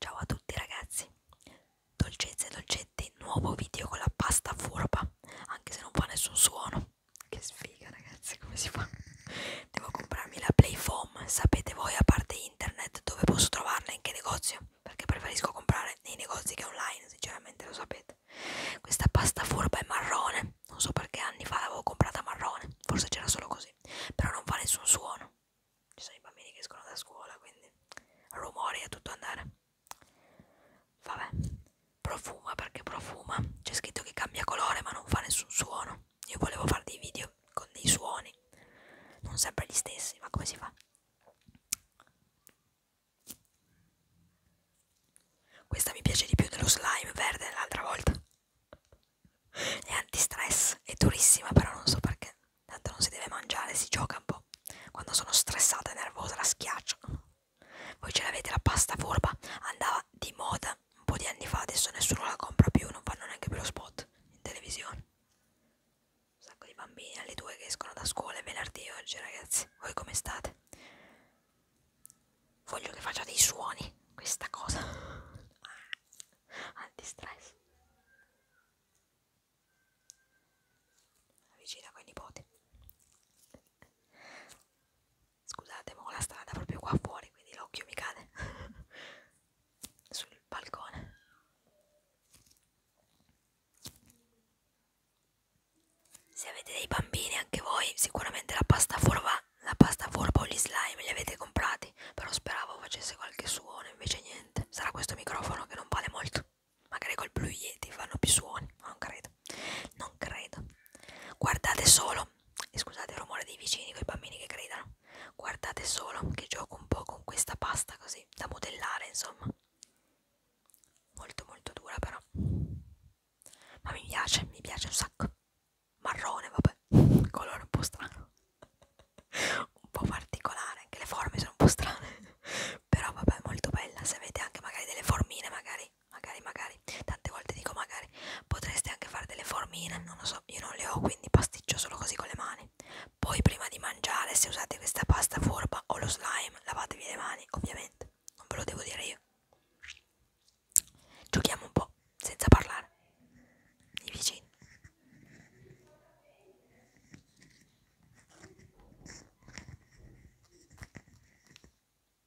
Ciao a tutti ragazzi, dolcezze e dolcetti, nuovo video con la pasta furba, anche se non fa nessun suono. Che sfiga ragazzi, come si fa? Devo comprarmi la Playfoam, sapete voi a parte internet dove posso trovarla, in che negozio? perché preferisco comprare nei negozi che online, sinceramente lo sapete. Questa pasta furba è marrone, non so perché anni fa l'avevo comprata marrone, forse c'era solo così, però non fa nessun suono. Ci sono i bambini che escono da scuola, quindi rumori a tutto andare. Vabbè, profuma perché profuma, c'è scritto che cambia colore ma non fa nessun suono. Io volevo fare dei video con dei suoni, non sempre gli stessi, ma come si fa? Questa mi piace di più dello slime verde dell'altra volta. È antistress, è durissima, però non so perché. Tanto non si deve mangiare, si gioca un po'. Quando sono stressata e nervosa la schiaccio. Voi ce l'avete la pasta furba, andava di moda un po' di anni fa, adesso nessuno la compra più, non fanno neanche più lo spot in televisione. Un sacco di bambini alle due che escono da scuola, è venerdì oggi ragazzi, voi come state? Voglio che faccia dei suoni, questa cosa. Antistress. Vicina con i nipoti. Scusate, ma ho la strada proprio qua fuori, quindi l'occhio mi cade. sul balcone. Se avete dei bambini anche voi, sicuramente la pasta forba, la pasta forba o gli slime li avete comprati, però speravo facesse qualche suono, invece niente. Sarà questo microfono che non vale molto. Magari col Blue Yeti fanno più suoni, ma non credo. Non credo. Guardate solo e scusate il rumore dei vicini con i bambini che gridano guardate solo che gioco un po' con questa pasta così da modellare insomma molto molto dura però ma mi piace mi piace un sacco marrone vabbè colore un po' strano un po' particolare anche le forme sono un po' strane però vabbè molto bella se avete anche magari delle formine magari magari magari tante volte dico magari potreste anche fare delle formine non lo so caso io non le ho quindi pasticcio solo così con le mani poi prima di mangiare se usate questa pasta forma o lo slime lavatevi le mani ovviamente non ve lo devo dire io giochiamo un po' senza parlare di vicino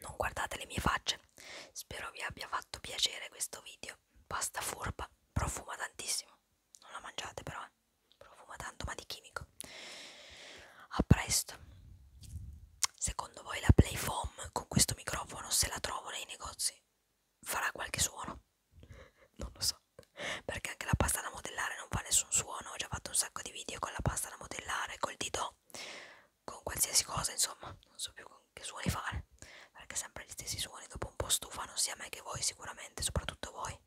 Non guardate le mie facce. Spero vi abbia fatto piacere questo video. Pasta furba, profuma tantissimo. Non la mangiate però, eh. profuma tanto ma di chimico. A presto. Secondo voi la Playfoam con questo microfono se la trovo nei negozi farà qualche suono? Non lo so perché anche la pasta da modellare non fa nessun suono ho già fatto un sacco di video con la pasta da modellare col dito con qualsiasi cosa insomma non so più che suoni fare perché sempre gli stessi suoni dopo un po' stufano sia me che voi sicuramente soprattutto voi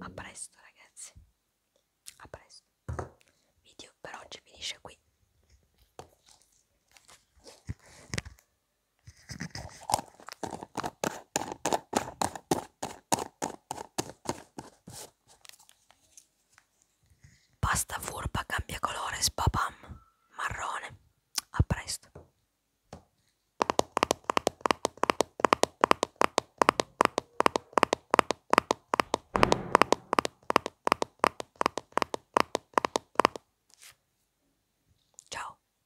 a presto ragazzi a presto video per oggi finisce qui Pasta furba cambia colore, spapam, marrone. A presto. Ciao.